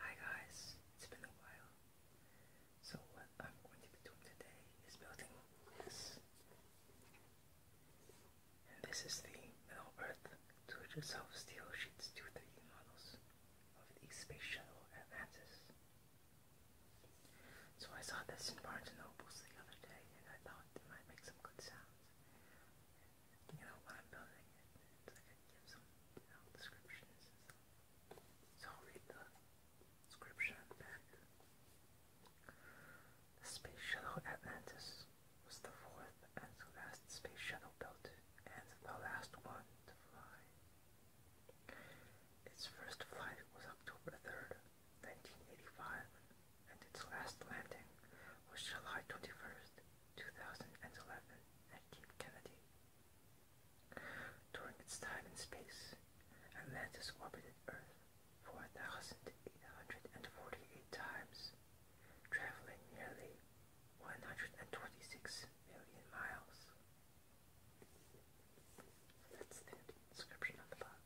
Hi guys, it's been a while. So what I'm going to be doing today is building this. And this is the Middle Earth Do It Yourself Steel Sheets 2 d models of the Space Shuttle Atlantis. So I saw this in Barnes & Noble's the other day and I thought it might make some good sounds you know, when I'm building it, it's like I give some, descriptions So read the description back. space shuttle Atlantis was the fourth and last space shuttle built, and the last one to fly. Its first flight was October 3rd, 1985, and its last landing was July 21st, 2011 at Cape Kennedy. During its time in space, Atlantis orbited Earth 4,848 times, traveling nearly 126 million miles. That's the description of the box.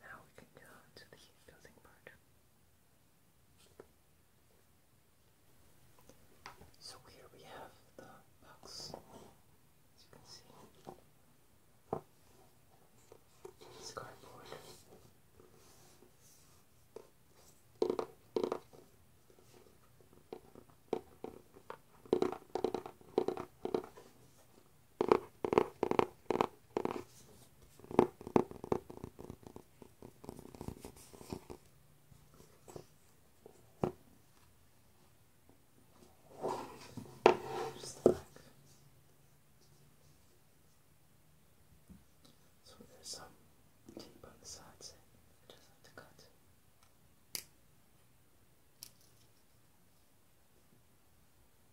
now we can go to the building part. So here we have the box, as you can see. cardboard. Just like so, there's some tape on the sides. It doesn't have to cut.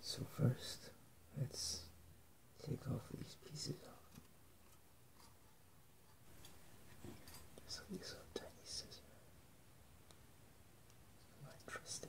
So first, let's take off these pieces off. Just so these little tiny scissors. My trusty.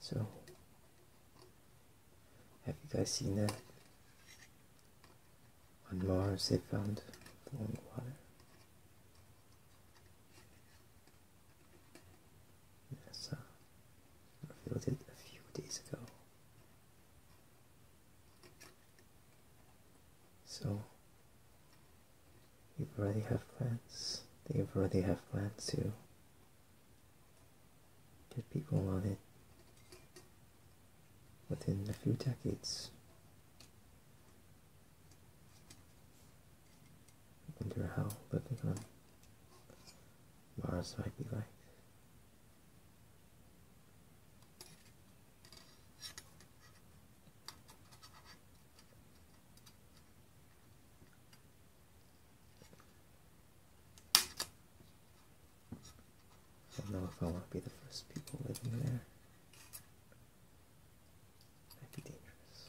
So, have you guys seen that? On Mars they found flowing Yes, uh, I revealed it a few days ago. So, you already have plans. They already have plans to get people on it within a few decades. wonder how living on Mars might be like. I don't know if I want to be the first people living there. that be dangerous.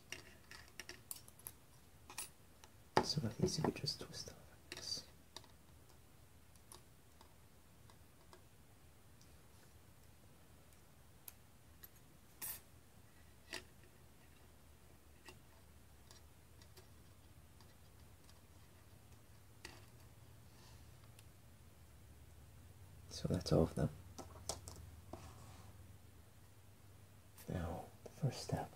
So that means you just twist it So that's all of them. Now, the first step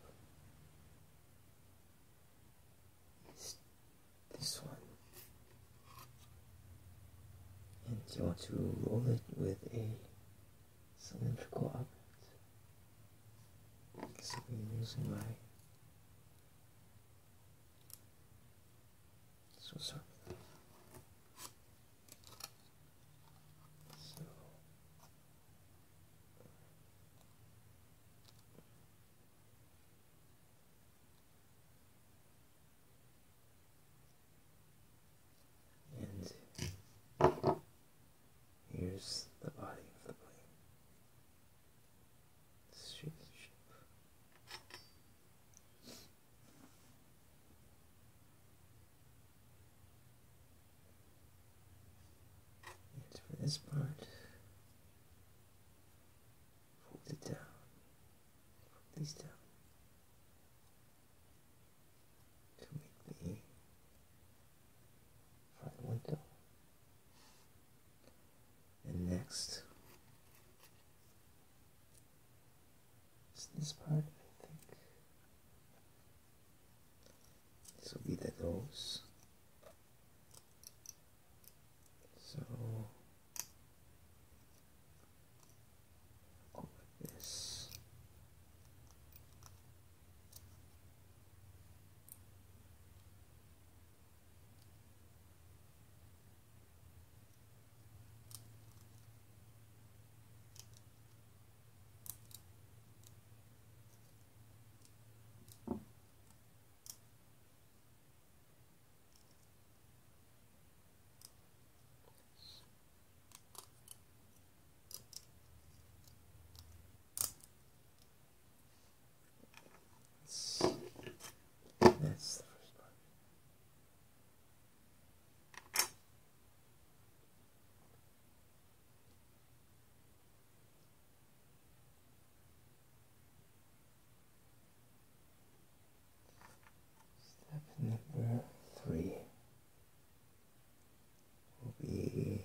is this one. And you want to roll it with a cylindrical object. So I'm using my so sorry and here's the body of the plane. shape. And for this part, fold it down, these down to make the front window. And next, it's this part, I think. This be the nose. So, oh, like this. That's the first part. Step number three will be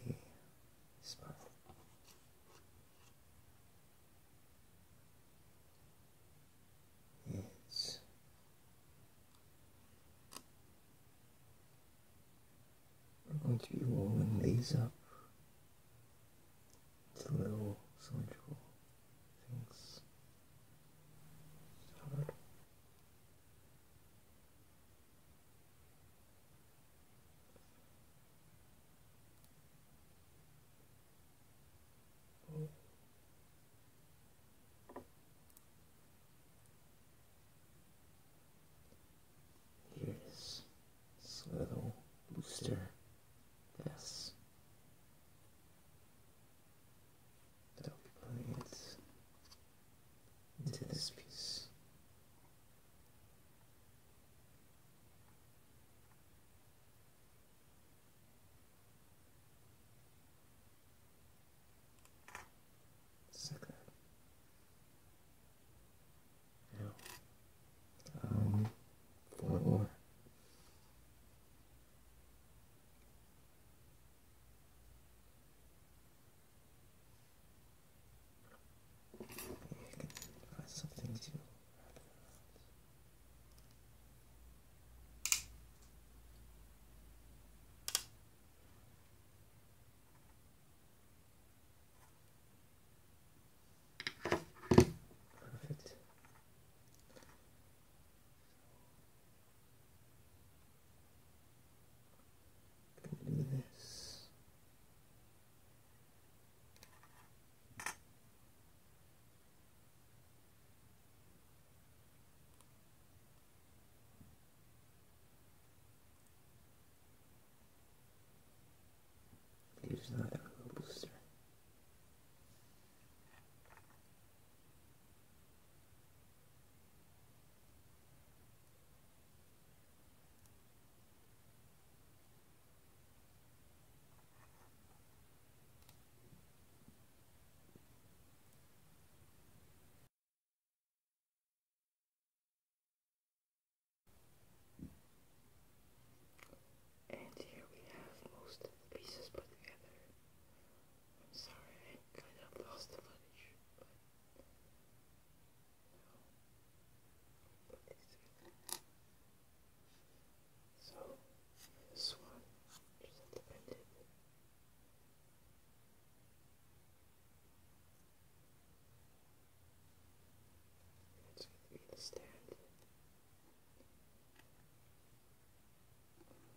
smile. It's we're going to be rolling these up into little cylindrical things. Hard. Yes. this little booster Yes. That'll into this piece. Just like um, four more. Maybe find something to Perfect. Do this. Use that little booster. And here we have most of the pieces put together. I'm sorry, I kind of lost the footage, but you so this one is independent. That's going to be the stand.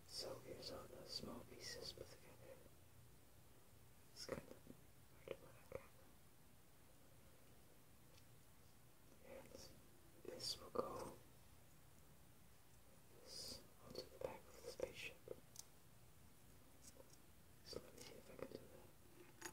So here's all the small pieces put together. It's kind of hard to put on camera. this will go onto the back of the spaceship. So let me see if I can do that.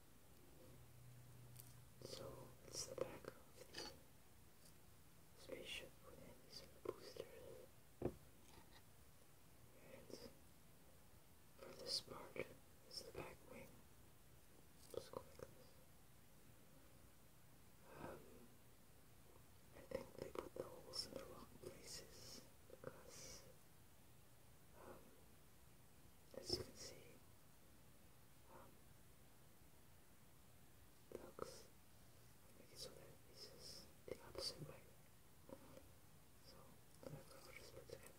So it's the back of the spaceship with these boosters. And for this part is the back wing. Let's go like this. Um, I think they put the holes in the wrong places because um, as you can see, um, make it that it the opposite way. So the back cover is put together.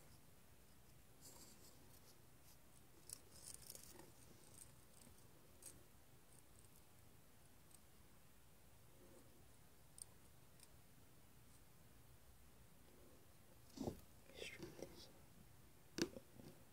Extremely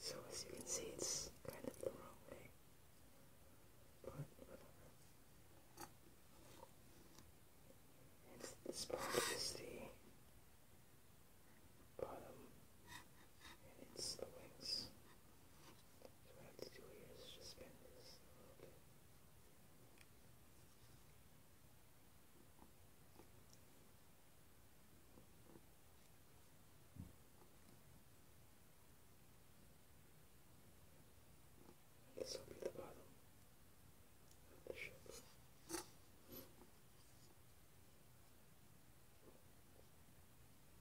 So as you can see, it's kind of the wrong way, but whatever. And this part bottom, and it's the wings just spin this little bit. This will be the bottom of the ship.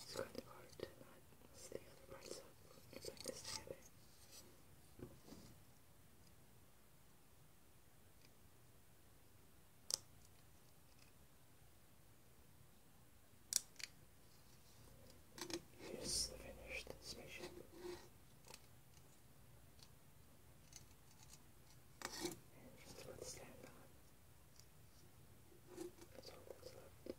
It's kind of hard to not mess the other parts up if I understand Here's the finished spaceship. And just put the stand on. That's all that's left.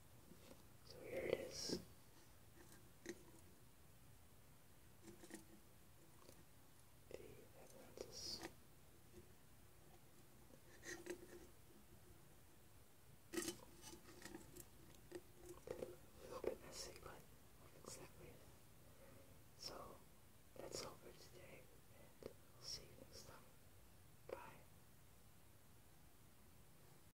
So here it is. The Atlantis. A little bit messy, but I'll fix So that's all for today, and will see you next time. Bye.